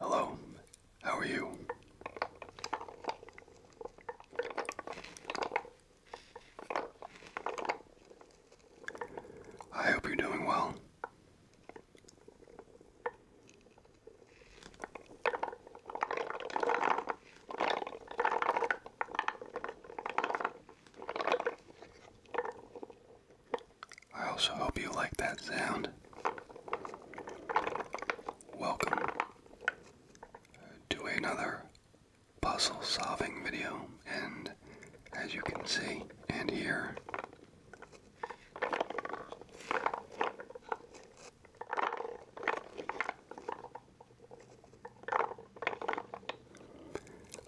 Hello, how are you? I hope you're doing well. I also hope you like that sound. Welcome uh, to another puzzle solving video, and as you can see and hear,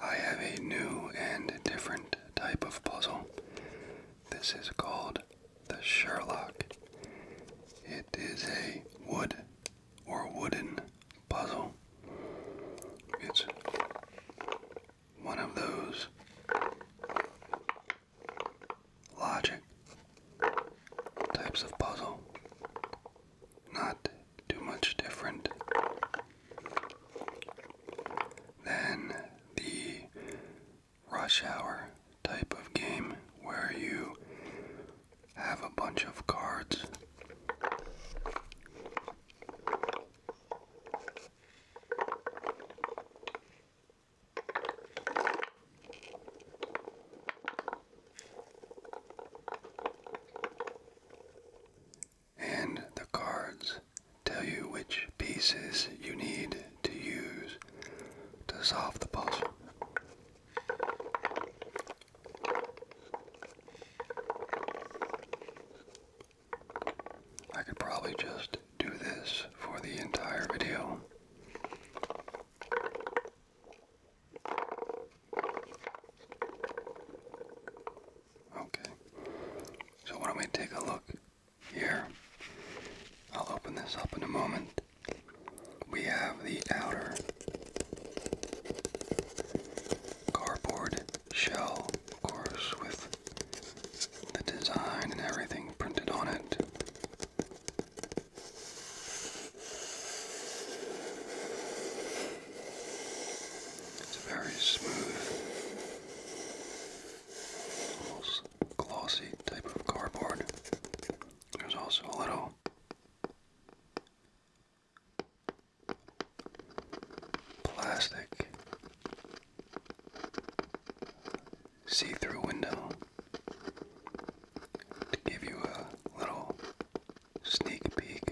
I have a new and different type of puzzle. This is called the Sherlock. It is a wood or wooden puzzle. It's one of those logic types of puzzle. Not too much different than the rush hour type of game where you have a bunch of cards. And the cards tell you which pieces you need to use to solve the puzzle. I could probably just do this for the entire video. Okay, so why don't we take a look here? I'll open this up in a moment. We have the outer cardboard shell, of course, with the design and everything printed on it. It's very smooth, almost glossy type of cardboard. There's also a little plastic see through window to give you a little sneak peek,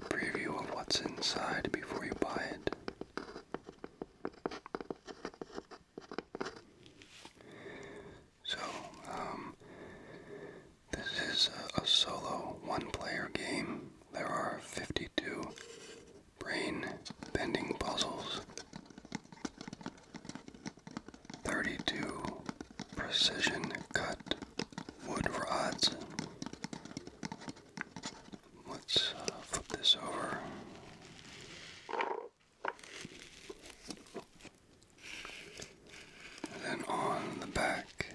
preview of what's inside before you buy it. So, um, this is a solo one player game. There are 52 brain bending puzzles, 32 precision cut wood rods. Let's uh, flip this over. then on the back,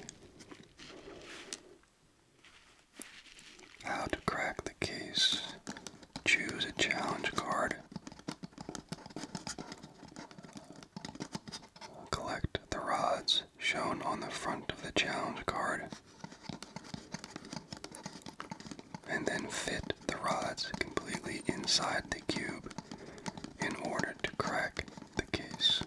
how to crack the case. Choose a challenge card. Collect the rods shown on the front of the challenge card. And then fit the rods completely inside the cube in order to crack the case.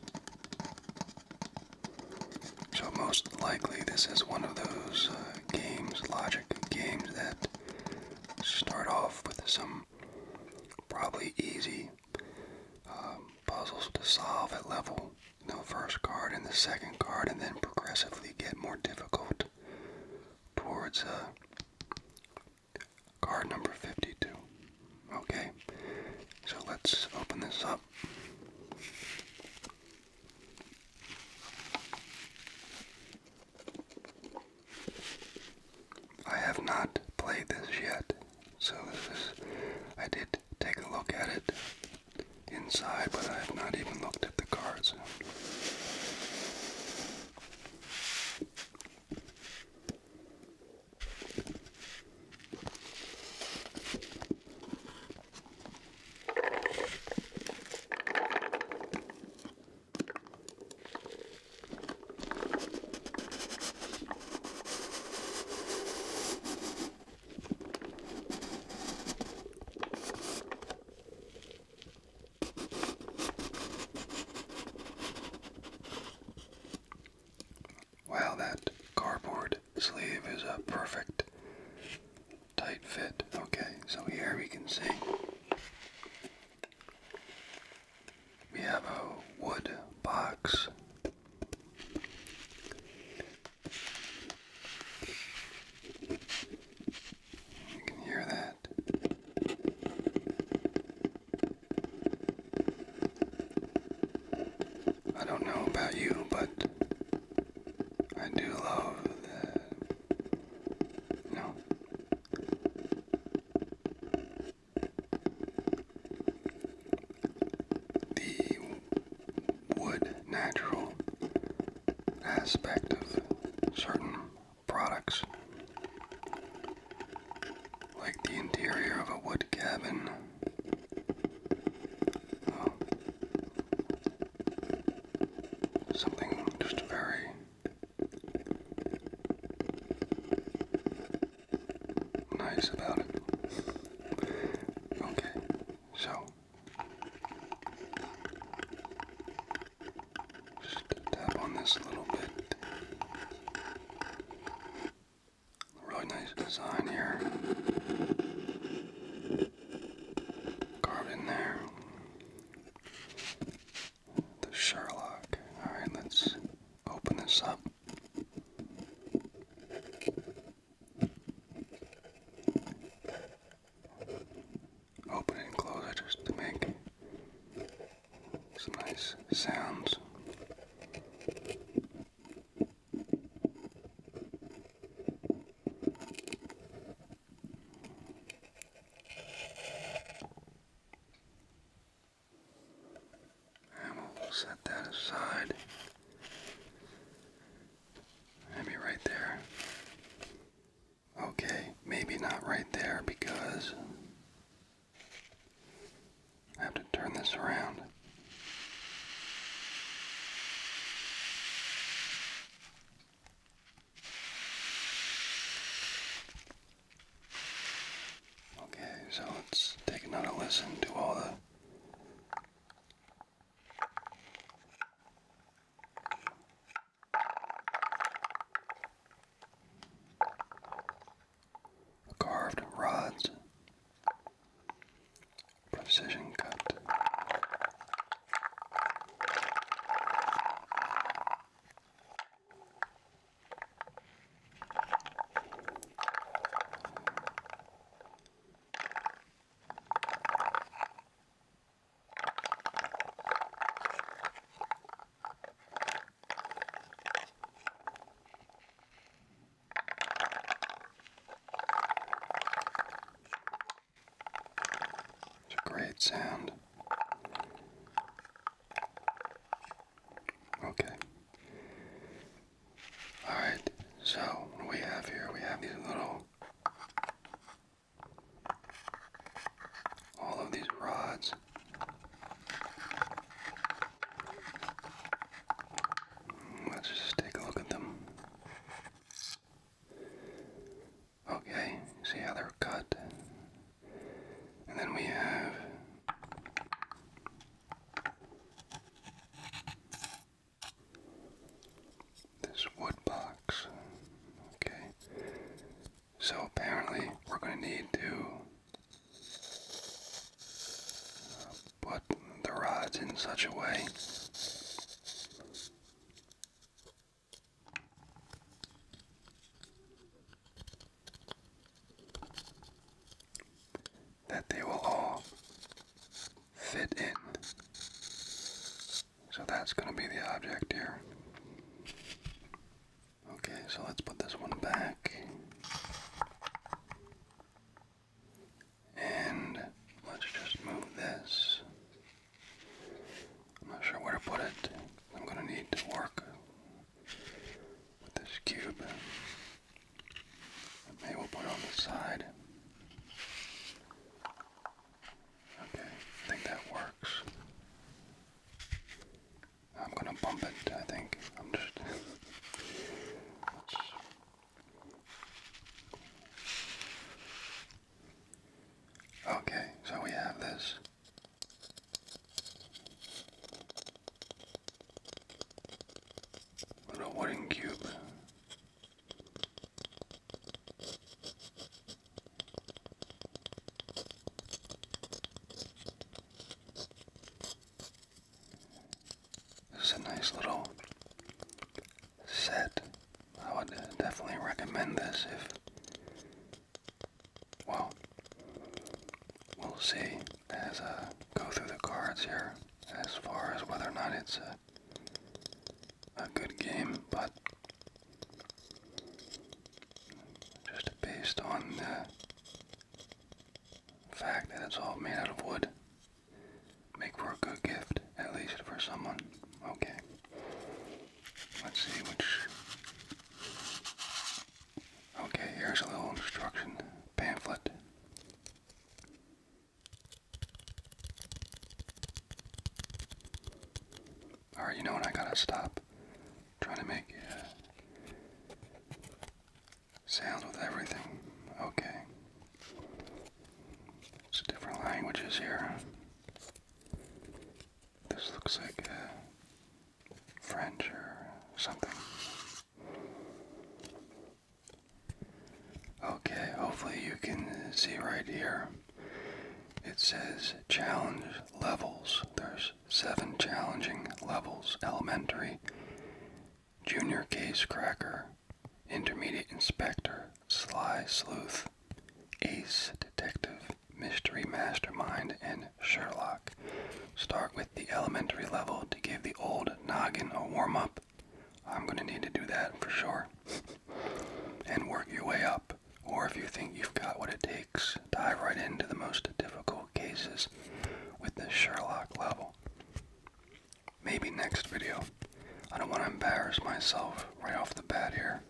So, most likely, this is one of those uh, games, logic games, that start off with some probably easy um, puzzles to solve at level, you know, first card and the second card, and then progressively get more difficult towards uh, card number 52. Okay, so let's open this up. I have not played this yet, so this is, I did take a look at it inside, but I have not even looked at the cards. Well, that cardboard sleeve is a perfect tight fit. Okay, so here we can see we have a wood box. You can hear that. I don't know about you, but I do love The wood natural aspect of certain products, like the interior of a wood cabin. Oh. Something just very nice about it. Okay, so just tap on this a little bit. Really nice design here carved there. The Sherlock. Alright, let's open this up. Open it just to make some nice sounds. I will set that aside. Maybe right there. Okay, maybe not right there because I have to turn this around. Okay, so let's take another listen to all the carved rods precision cut. It's a great sound. Okay. Alright, so we have here? We have these little. All of these rods. Let's just take a look at them. Okay, see how they're cut. And then we have this wood box. Okay. So apparently we're going to need to put the rods in such a way that they will all fit in. So that's going to be the object here. Okay, so let's put this one back. And let's just move this. I'm not sure where to put it. I'm going to need to work with this cube. Maybe we'll put it on the side. Okay, I think that works. I'm going to bump it, I think. I'm just... Okay, so we have this. Little wooden cube. This is a nice little set. I would definitely recommend this if, well, we'll see as I uh, go through the cards here as far as whether or not it's a good game, but just based on the fact that it's all made out of wood Make for a good gift, at least for someone. Okay. Let's see which. Okay, here's a little instruction pamphlet. Alright, you know what? I gotta stop trying to make sounds with everything. Okay. It's different languages here. This looks like uh, French or something. Okay, hopefully you can see right here. It says challenge levels. There's seven challenging levels elementary, Junior Case Cracker, Intermediate Inspector, Sly Sleuth, Ace Detective, Mystery Mastermind, and Sherlock. Start with the elementary level to give the old noggin a warm up. I'm going to need to do that for sure. and work your way up. Or if you think you've got what it takes, dive right into the most difficult cases with the Sherlock level. Maybe next video. I don't want to embarrass myself right off the bat here.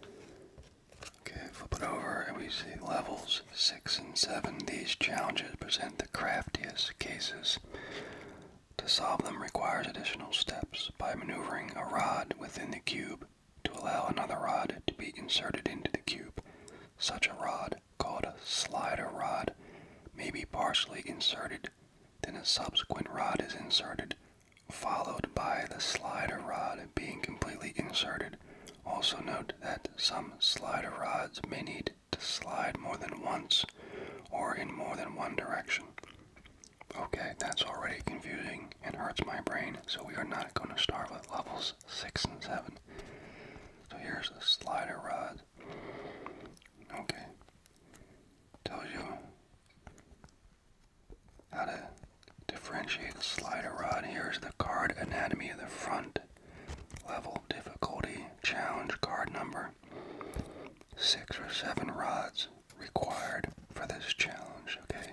Okay, flip it over and we see levels 6 and 7. These challenges present the craftiest cases. To solve them requires additional steps by maneuvering a rod within the cube to allow another rod to be inserted into the cube. Such a rod, called a slider rod, may be partially inserted then a subsequent rod is inserted, followed by the slider rod being completely inserted. Also note that some slider rods may need to slide more than once or in more than one direction. Okay, that's already confusing and hurts my brain, so we are not going to start with levels 6 and 7. So here's the slider rod. Okay tells you how to differentiate the slider rod. Here's the card anatomy of the front level difficulty challenge card number. Six or seven rods required for this challenge, okay?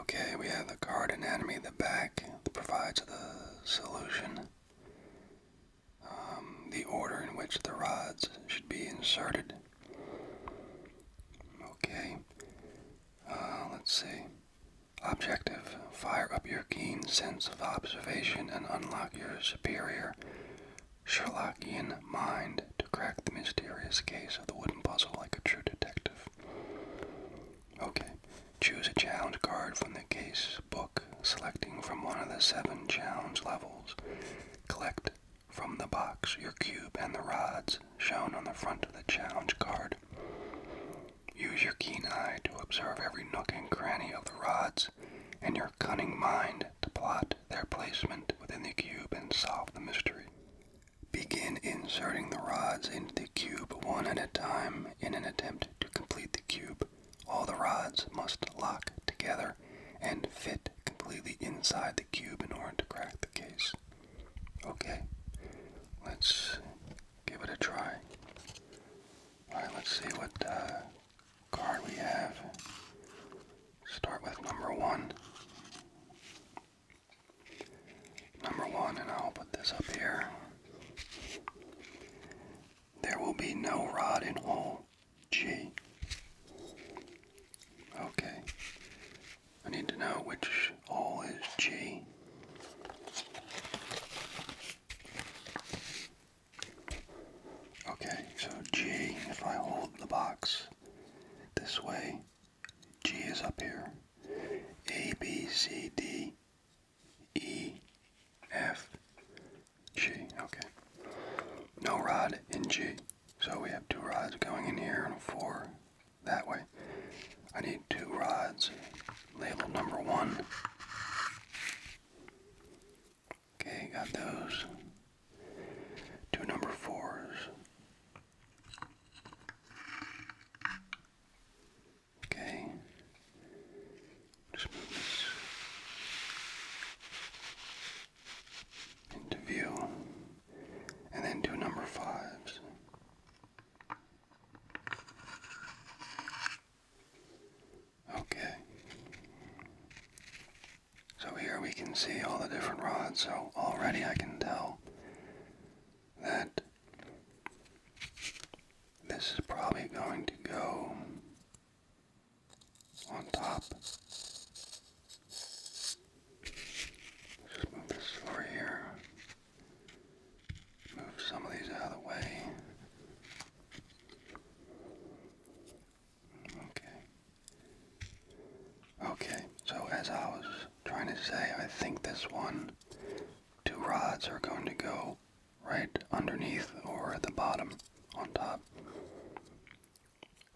Okay, we have the card anatomy, of the back provides the solution. Um, the order in which the rods should be inserted. Okay, uh, let's see. Objective, fire up your keen sense of observation and unlock your superior Sherlockian mind to crack the mysterious case of the wooden puzzle like a true detective. Okay, choose a challenge card from the case book selecting from one of the seven challenge levels. Collect from the box your cube and the rods shown on the front of the challenge card. Use your keen eye to observe every nook and cranny of the rods and your cunning mind to plot their placement within the cube and solve the mystery. Begin inserting the rods into the cube one at a time in an attempt to complete the cube. All the rods must lock together and fit completely inside the cube in order to crack the case. Okay, let's give it a try. Alright, let's see what uh, card we have. Start with number one. Number one, and I'll put this up here. There will be no rod in hole G. Okay. I need to know which hole is G. Okay, so G, if I hold the box this way, G is up here. A, B, C, D, E, F, G, okay. No rod in G. So we have two rods going in here and a four that way. I need two rods Label number one. Okay, got those. Two number fours. Okay into view, and then two number fives. Okay. So here we can see all the different rods, so already I can tell that this is probably going to go on top. Just move this over here. Move some of these out of the way. Okay. Okay, so as I was trying to say, I think this one, two rods are going to go right underneath or at the bottom on top.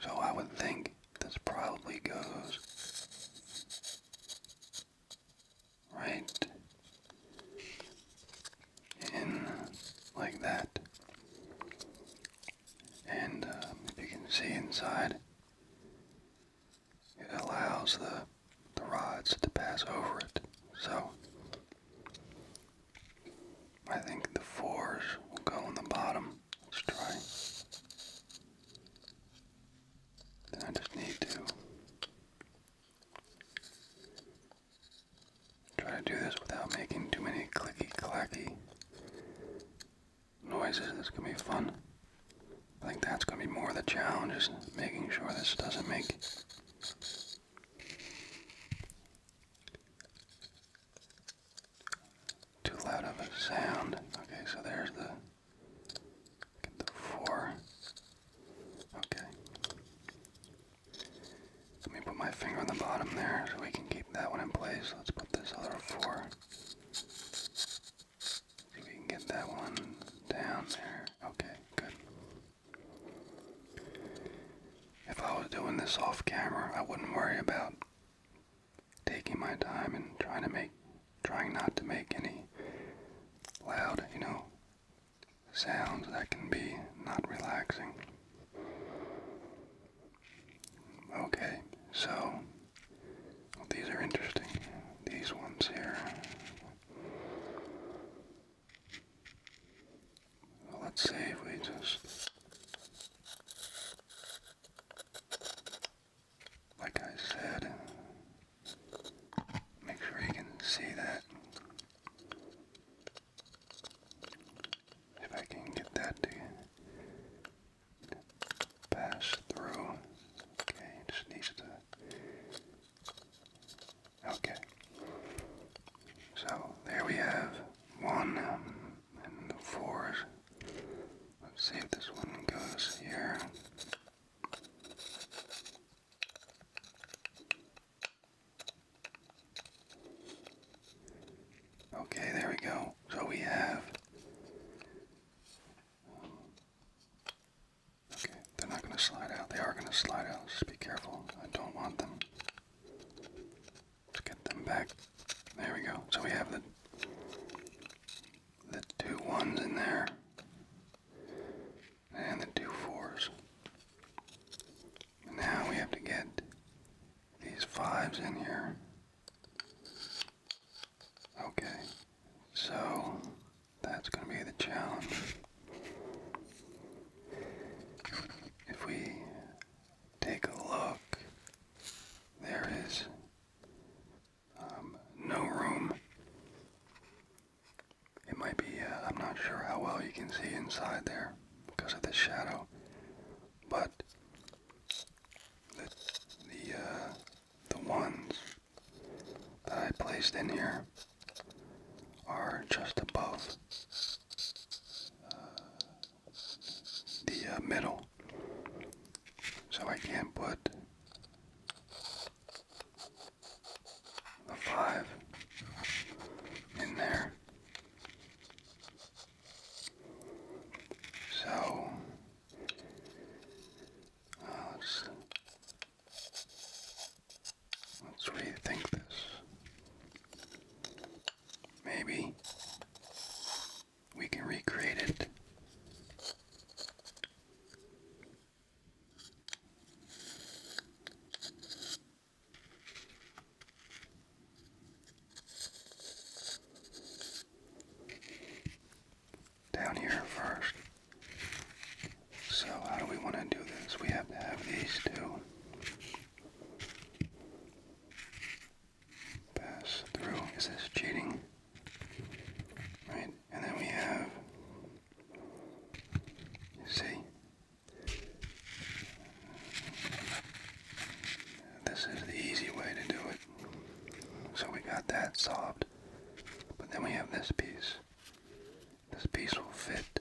So I would think this probably goes right in like that. And um, if you can see inside, it allows the the rods to pass over it. So I think the fours will go on the bottom. Let's try. I just need to try to do this without making too many clicky clacky noises. This can be fun. I think that's going to be more of the challenge, is making sure this doesn't make too loud of a sound. Okay, so there's the four. Okay. Let me put my finger on the bottom there so we can keep that one in place. Let's put this other four. So we can get that one down there. Okay, good. If I was doing this off camera, I wouldn't worry about taking my time and trying to make trying not to make any loud, you know, sounds that can be not relaxing. Okay, so these are interesting. These ones here let's see we just, like I said, make sure you can see that. If I can get that to pass through, okay, just needs to Okay. So there we have one um, and fours. Let's see if this one goes here. Okay, there we go. So we have. okay, they're not going to slide out. They are going to slide out. Just be careful. I don't want them let get them back. There we go. So we have the the two ones in there and the two fours. Now we have to get these fives in here. Okay, so that's going to be the challenge. If we take a look, there is um, no room. It might be, uh, I'm not sure how well you can see inside there because of the shadow, but the, the uh, ones that I placed in here are just above uh, the uh, middle. So I can't put the 5 in there. So, uh, let's Let's rethink this. Maybe we can recreate it. Down here first. So, how do we want to do this? We have to have these two Pass through. Is this cheating? Right, and then we have. You see? This is the easy way to do it. So we got that solved. But then we have this piece. This piece will fit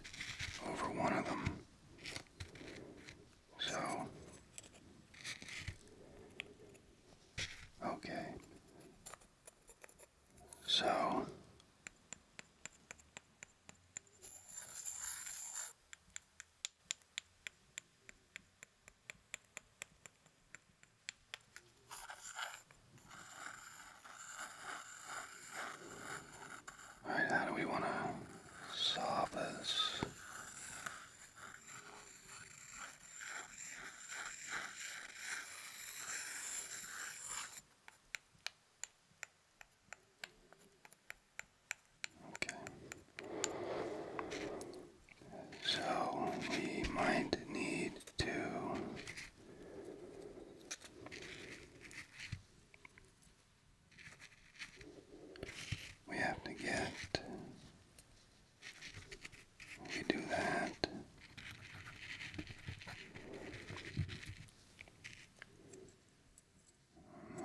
over one of them. So, okay. So, Alright, how do we want to solve this? Okay. So we might need to we have to get. We do that.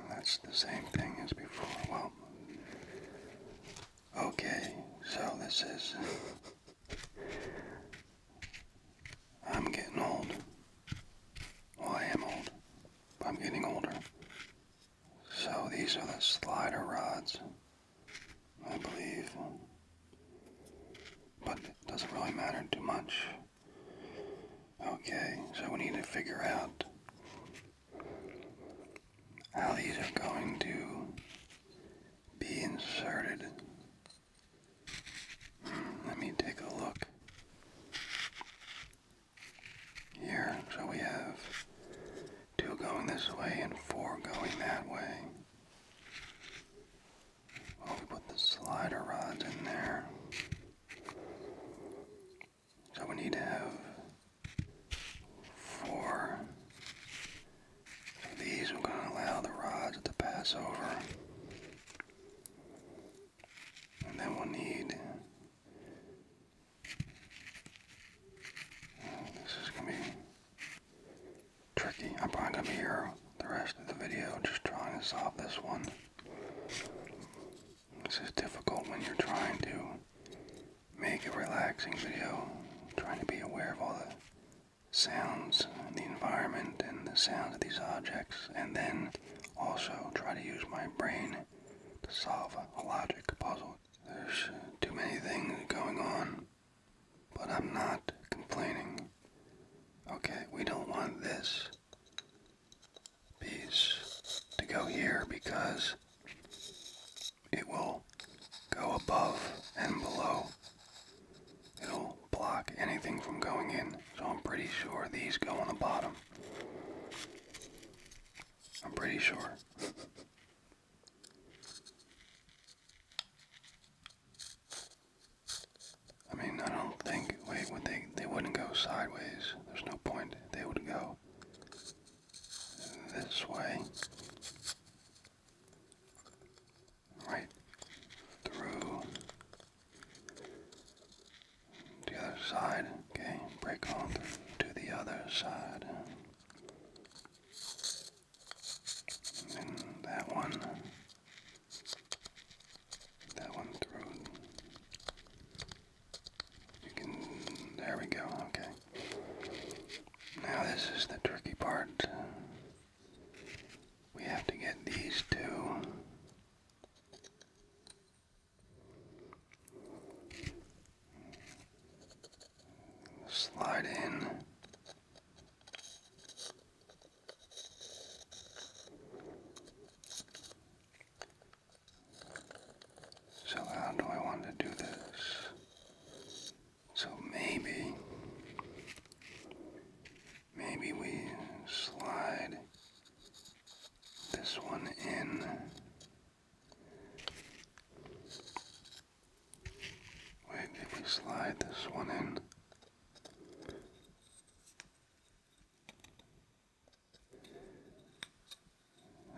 That's the same thing as before. Well, okay, so this is I'm getting old. Well, I am old. I'm getting older. So these are the slider rods, I believe. But it doesn't really matter too much. Okay, so we need to figure out how these are going to be inserted let me take a look. Here, so we have two going this way and four going that way. Well, we put the slider rods in there. So we need to have four. these are going to allow the rods to pass over. And then we'll need. This is gonna be tricky. I'm probably gonna be here the rest of the video just trying to solve this one. This is difficult when you're trying to make a relaxing video, trying to be aware of all the sounds, and the environment, and the sounds of these objects, and then also, try to use my brain to solve a logic puzzle. There's too many things going on, but I'm not complaining. Okay, we don't want this piece to go here because it will go above and below. It'll block anything from going in. So I'm pretty sure these go on the bottom. I'm pretty sure. I mean, I don't think. Wait, would they? They wouldn't go sideways. There's no point. They would go this way, right through the other side, okay, break on to the other side. And that one, that one through. You can, there we go, okay. Now this is the tricky part. We have to get these two Slide in. So, how do I want to do this? So, maybe Maybe we slide this one in. Wait, did we slide this one in?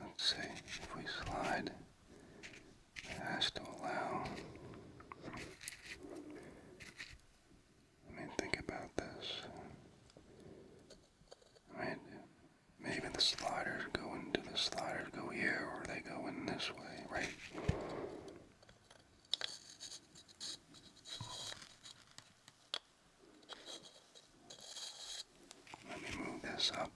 Let's see if we slide. It has to allow I mean, think about this. I mean, maybe the sliders go into the sliders go here, or they go in this way, right? Let me move this up.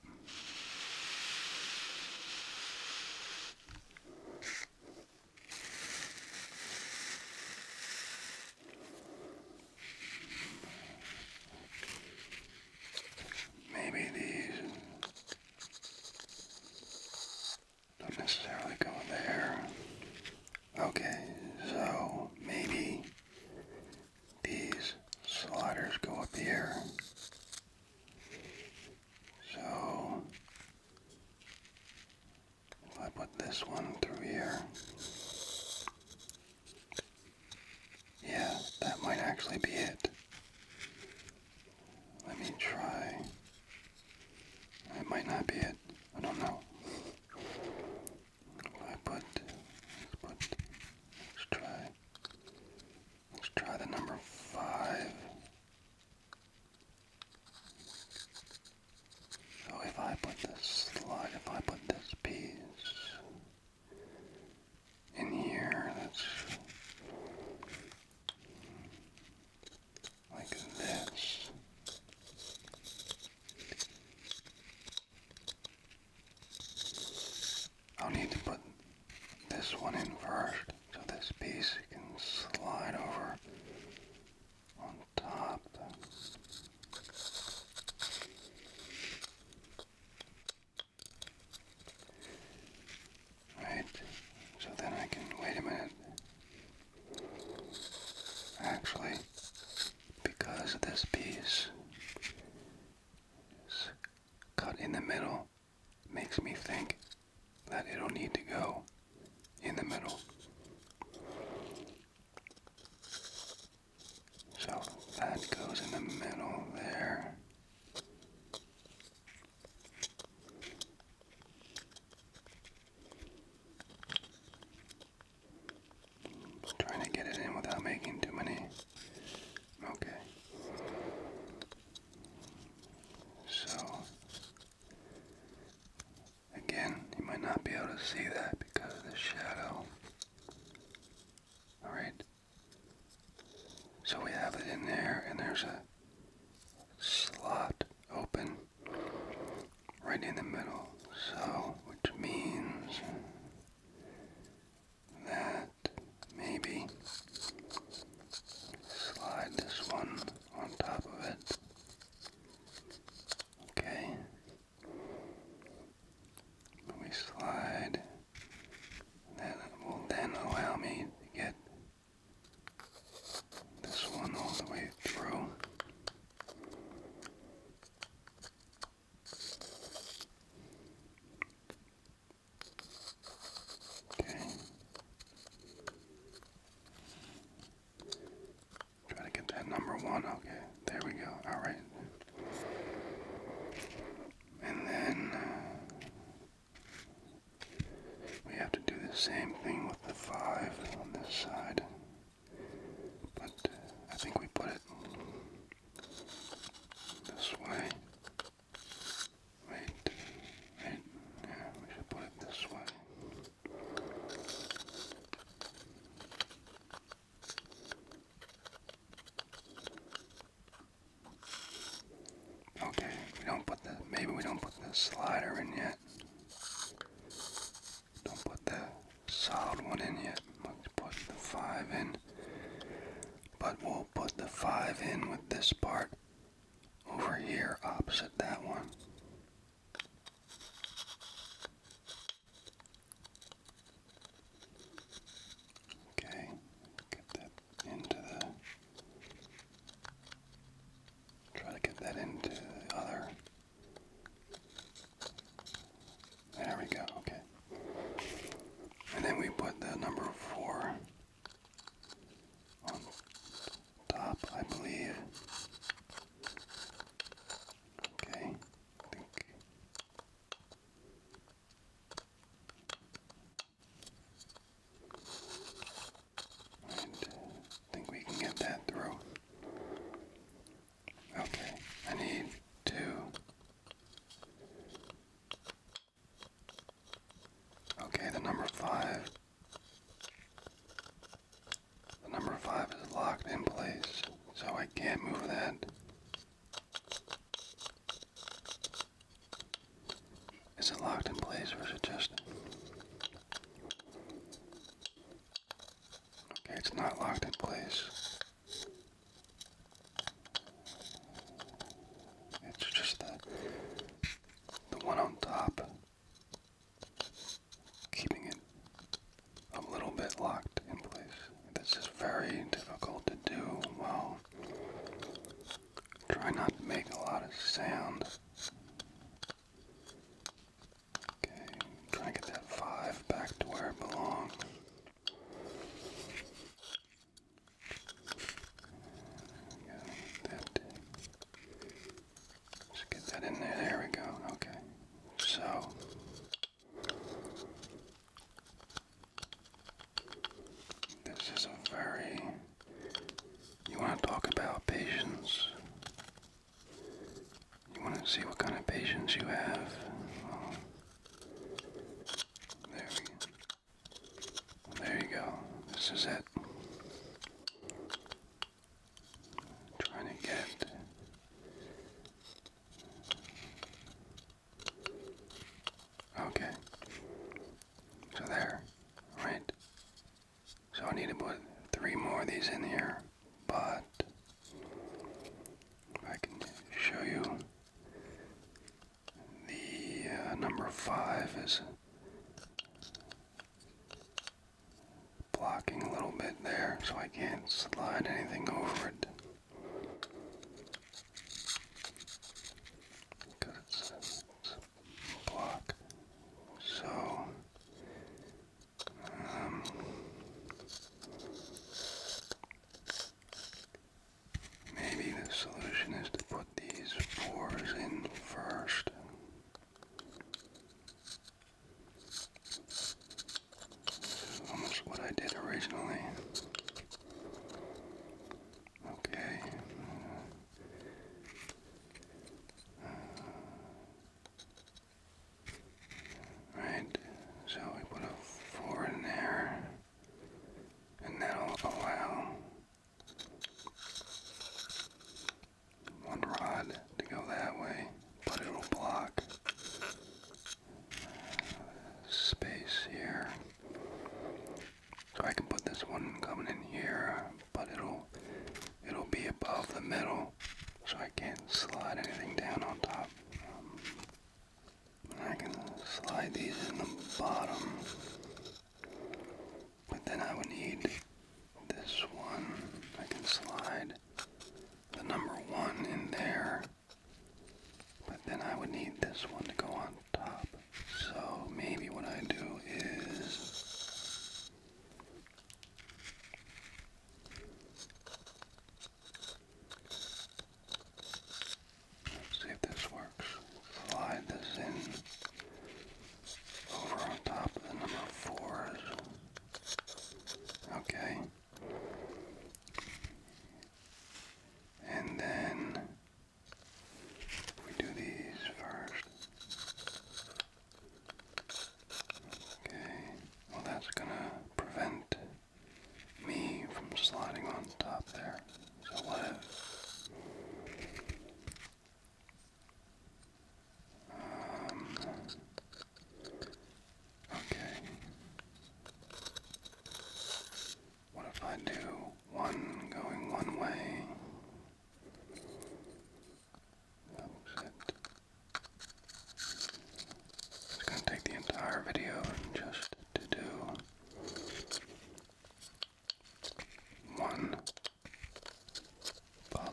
Maybe these don't necessarily go in there. Okay, so maybe these sliders go up here. So I put this one through here. Yeah, that might actually be it. Let me try. It might not be it. I don't know. I put, put, let's try, let's try the number five. So if I put this slide, if I put this piece in here, that's like this. I'll need to put this one in first so this piece can slide over on top. Right, so then I can, wait a minute. Actually, because this piece cut in the middle, makes me think that it'll need to go in the middle. So that goes in the middle there. trying to get it in without making too many. Okay. So Again, you might not be able to see that because of the shadow. Alright. So we have it in there, and there's a slot open right in the middle. So, which means that maybe slide this one on top of it. Okay. We slide. That will then allow me to get this one all the way through. Okay. Try to get that number one. Okay, there we go. All right. And then uh, we have to do the same thing with the five on this side. But uh, I think we put it this way. Wait, wait, yeah, we should put it this way. Okay, we don't put the maybe we don't put the slider in yet. Don't put the solid one in yet. Let's put the five in. But we'll put the five in with this part over here opposite that one. Okay, get that into the. Try to get that into the other. There we go, okay. And then we put the number four top, I believe. Okay, I think. I uh, think we can get that through. Okay, I need two. Okay, the number five the number 5 is locked in place, so I can't move that. Is it locked in place or is it just... Okay, it's not locked in place. It's just the, the one on top keeping it a little bit locked in place. This is very difficult to do while try not to make a lot of sound. Okay, try and get that five back to where it belongs. that just get that in there. There we go. Okay. So. This is a very. You want to talk about patience? You want to see what kind of patience you have? there we go. There you go. This is it trying to get okay so there right so I need to put three more of these in here but I can show you the uh, number five is blocking a little bit there so I can't slide anything over it. Because it's, block. So, um, maybe the solution is to put these pores in first Almost what I did originally. Okay. Uh, right, so we put a four in there, and that'll allow one rod to go that way, but it'll block space here. So I can put this one coming in here, but it'll it'll be above the middle, so I can't slide anything down on top. Um, I can slide these in the bottom. But then I would need this one. I can slide the number one in there. But then I would need this one to go on top. So maybe what I do is see if this works. Slide this in over on top of the number fours. Okay. And then we do these first. Okay. Well, that's going to prevent me from sliding on top there. So what okay. What if I do one going one way? That was it. It's going to take the entire video just to do one puzzle,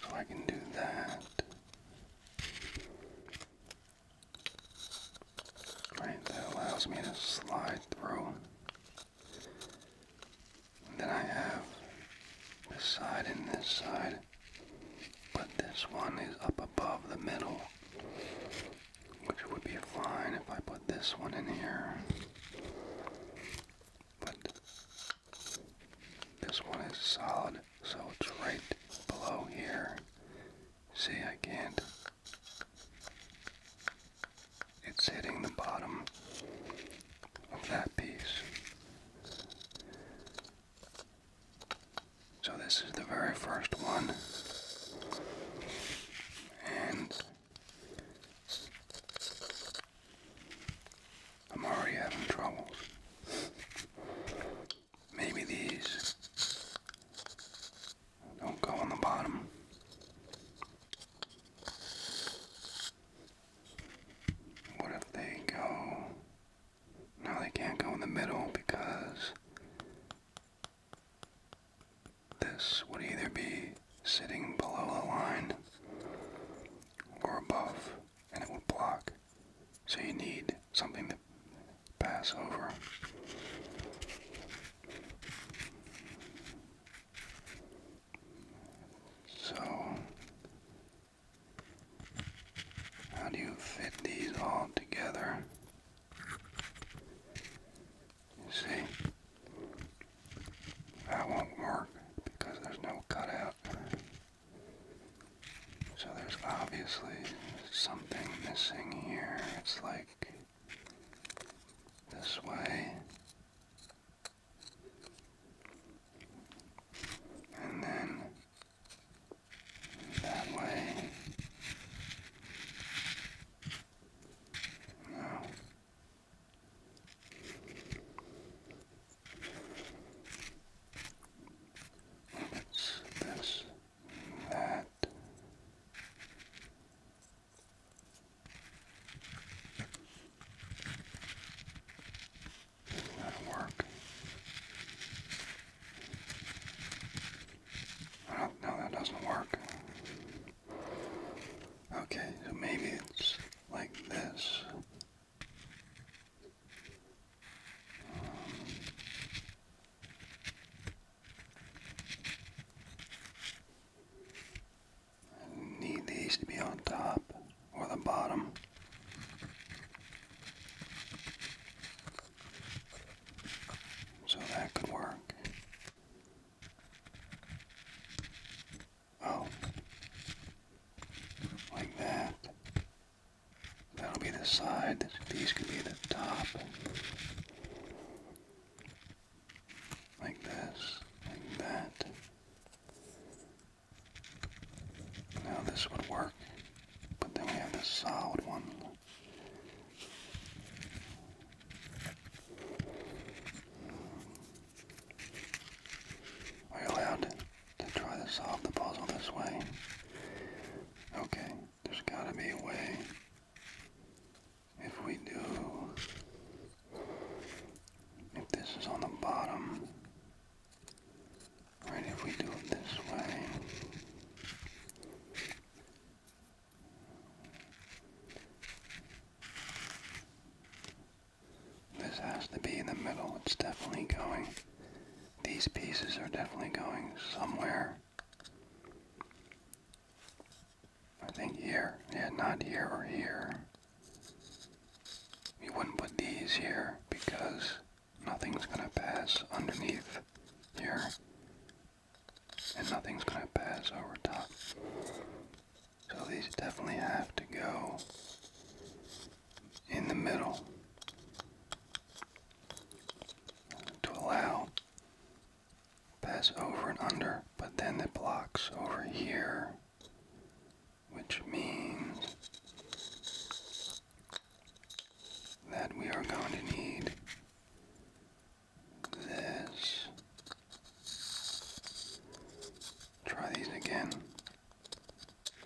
so I can do that. Right, that allows me to slide through. And then I have this side and this side, but this one is up above the middle, which would be fine if I put this one in here but this one is solid, so it's right below here. See, I can't. It's hitting the bottom of that piece. So, this is the very first one, and I'm already having trouble. Maybe these don't go on the bottom. What if they go? No, they can't go in the middle because this would either be sitting below the line or above, and it would block. So you need something to pass over. So, how do you fit these all together? see, that won't work because there's no cutout. So there's obviously something missing here. It's like this way. And then that way. What's this? That. that work. no, that doesn't work. Okay, so maybe it's like this. Um, need these to be on top or the bottom. So that could work. Oh. Like that. That'll be the side. These can be the top. Like this. Like that. Now this would work. But then we have this solid one. Are you allowed to try to solve the puzzle this way? Okay, there's gotta be a way. If we do, if this is on the bottom, right, if we do it this way, this has to be in the middle. It's definitely going. These pieces are definitely going somewhere. I think here. Yeah, not here or here. You wouldn't put these here because nothing's going to pass underneath here. And nothing's going to pass over top. So these definitely have to go in the middle to allow pass over and under, but then it blocks over here, which means that we are going to need this Try these again.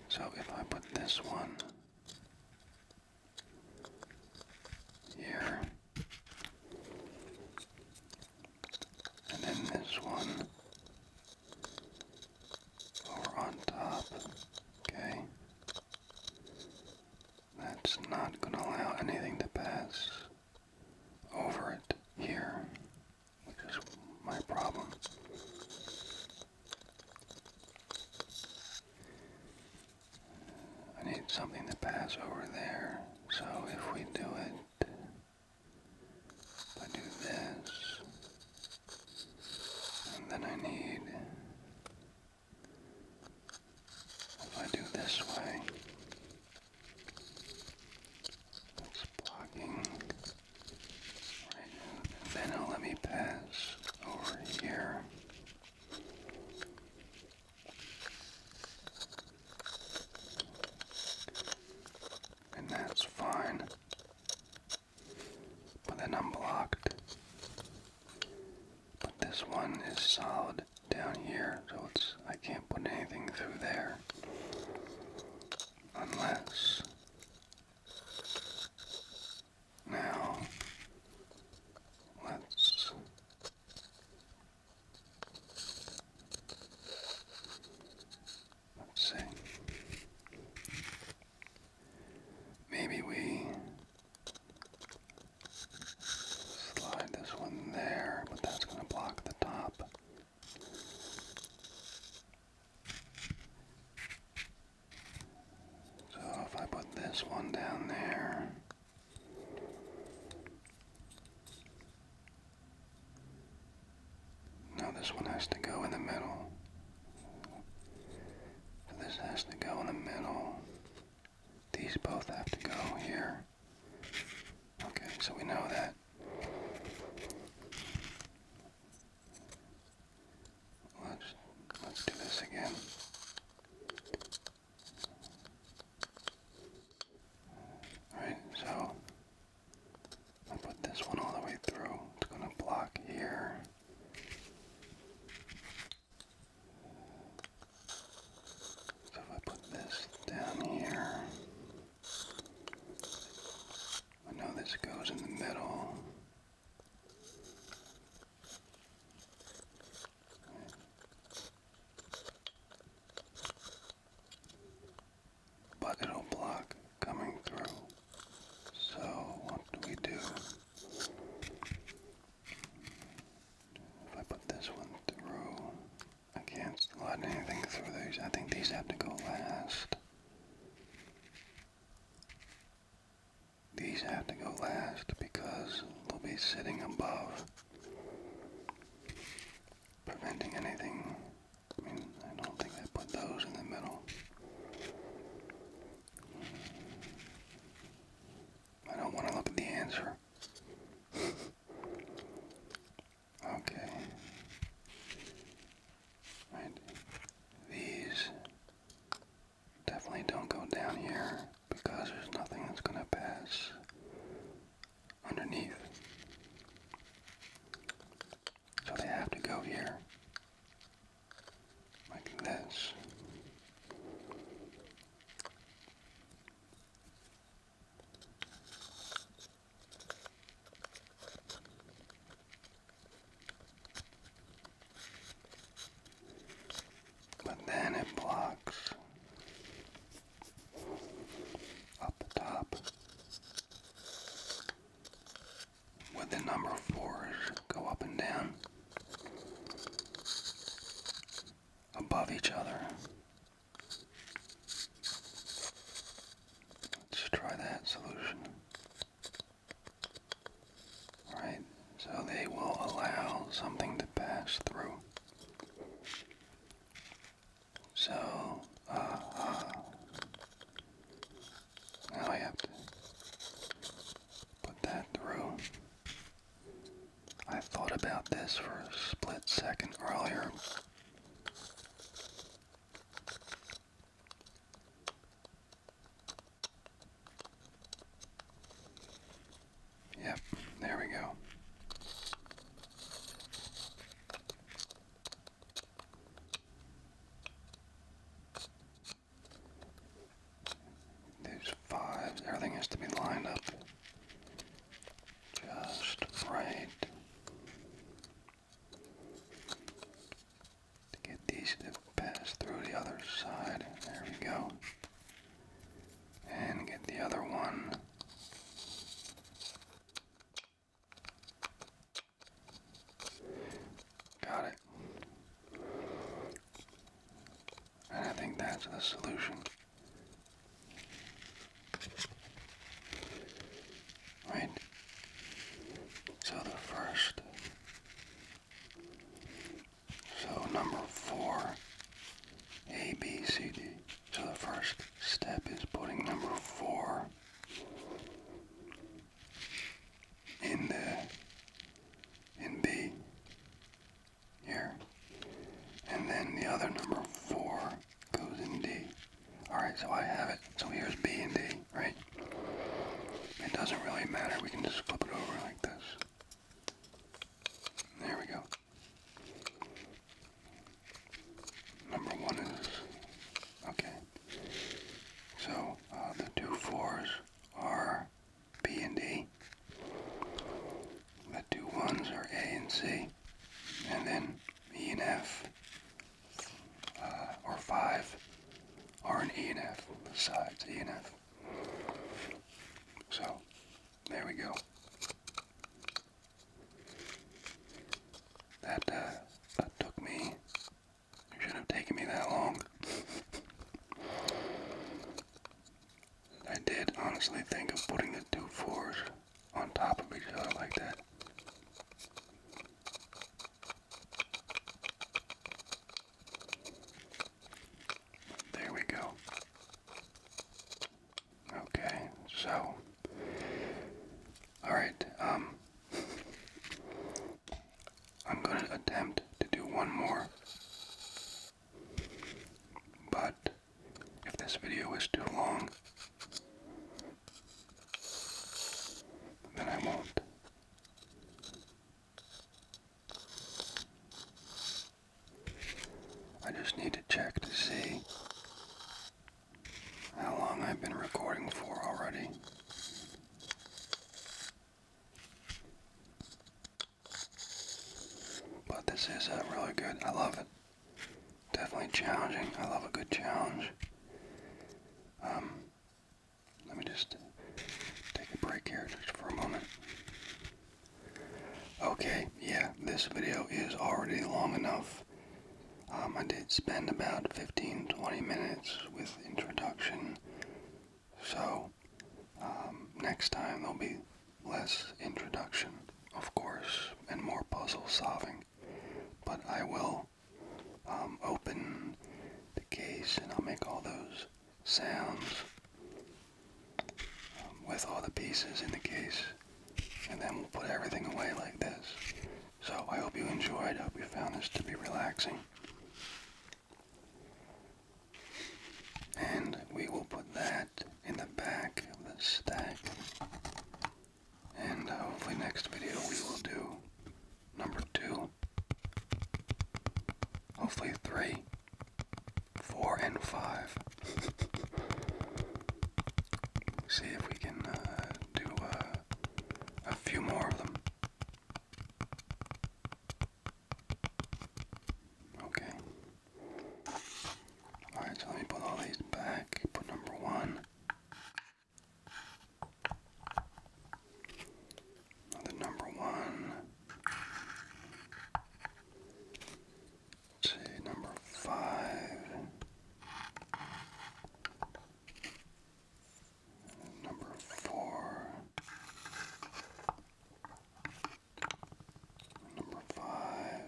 So if I put this one here, and then this one over on top, okay? That's not going to allow anything to pass over it here. Which is my problem. I need something to pass over there. So if we do it, I do this, and then I need, if I do this way, it's blocking. Right now. Then let me pass over here. And that's fine. But then I'm blocked. But this one is solid down here, so it's I can't put anything through there unless now let's let's see. Maybe we slide this one there, but that's going to block the top. So if I put this one down there, no, this one has to go in the middle. So this has to go in the middle. These both have to go here. Okay, so we know that let's let's do this again. Alright, so I put this one all the way through. It's gonna block here. So if I put this down here, I know this goes in the middle. But it'll block coming through. So, what do we do? If I put this one through, I can't slide anything through these. I think these have to go last. These have to go last because they'll be sitting above, preventing anything. I don't think I put those in the middle. I don't want to look at the answer. Okay. Right. These definitely don't go down here because there's nothing that's going to pass underneath. So they have to go here. Like this. But then it blocks up the top with the number fours go up and down above each other Let's try that solution. Right, so they will allow something to pass through. So, uh, uh. now I have to put that through. I thought about this for a split second earlier. Yep, there we go. There's five. Everything has to be lined up just right to get these to pass through the other side. There we go. And get the other one. Got it. And I think that's the solution. Right? So the first. So number four, A, B, C, D. So the first step is putting number four in the, in B here. And then the other number four goes in D. Alright, so I have it. So here's B and D, right? It doesn't really matter. We can just flip it over like this. There we go. Number one is... Okay. So, uh, the two fours are B and D. The two ones are A and C, and then E and F, uh, or five, or an E and F, the sides, E and F. So, there we go. That, uh, that took me, shouldn't have taken me that long. I did honestly think of putting the two fours on top of each other like that. There we go. Okay, so all right, um, I'm going to attempt to do one more. But if this video is too long, then I won't. I just need to check to see how long I've been recording for already. But this is uh, really good. I love it. Definitely challenging. I love a good challenge. Um, let me just take a break here just for a moment. Okay, yeah, this video is already long enough. Um, I did spend about 15-20 minutes with introduction. So, um, next time there'll be less introduction, of course, and more puzzle solving. But I will um, open the case and I'll make all those sounds um, with all the pieces in the case. And then we'll put everything away like this. So I hope you enjoyed. I hope you found this to be relaxing. And we will put that in the back of the stack. And uh, hopefully next video we will do number two. Hopefully three, four, and five. See if we can uh, do uh, a few more of them. Okay. Alright, so let me put all these back. Put number one. Another number one. see, number five. Number four number five,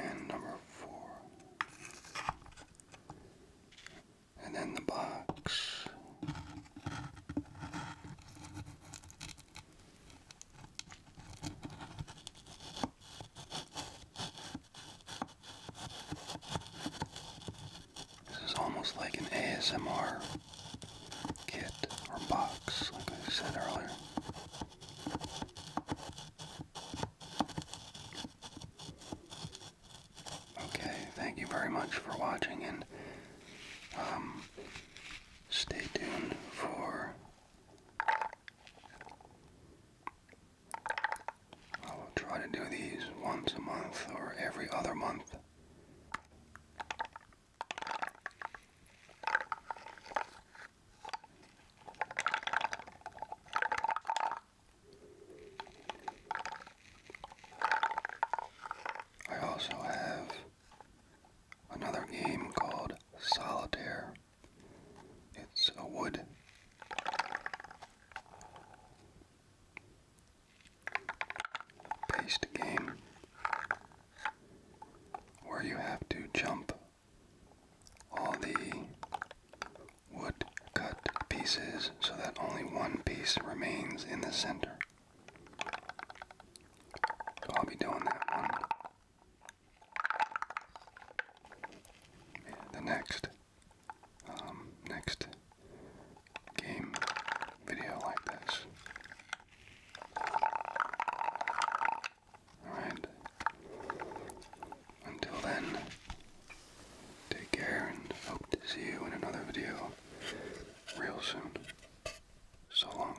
and number four. And then the box. This is almost like an ASMR kit or box, like I said earlier. Okay, thank you very much for watching, and um, stay tuned for. I will try to do these once a month or every other month. I also have another game called Solitaire. It's a wood. Based game where you have to jump all the wood cut pieces so that only one piece remains in the center. I'll be doing that one. The next, um, next game video like this. Alright. Until then, take care and hope to see you in another video real soon. So long.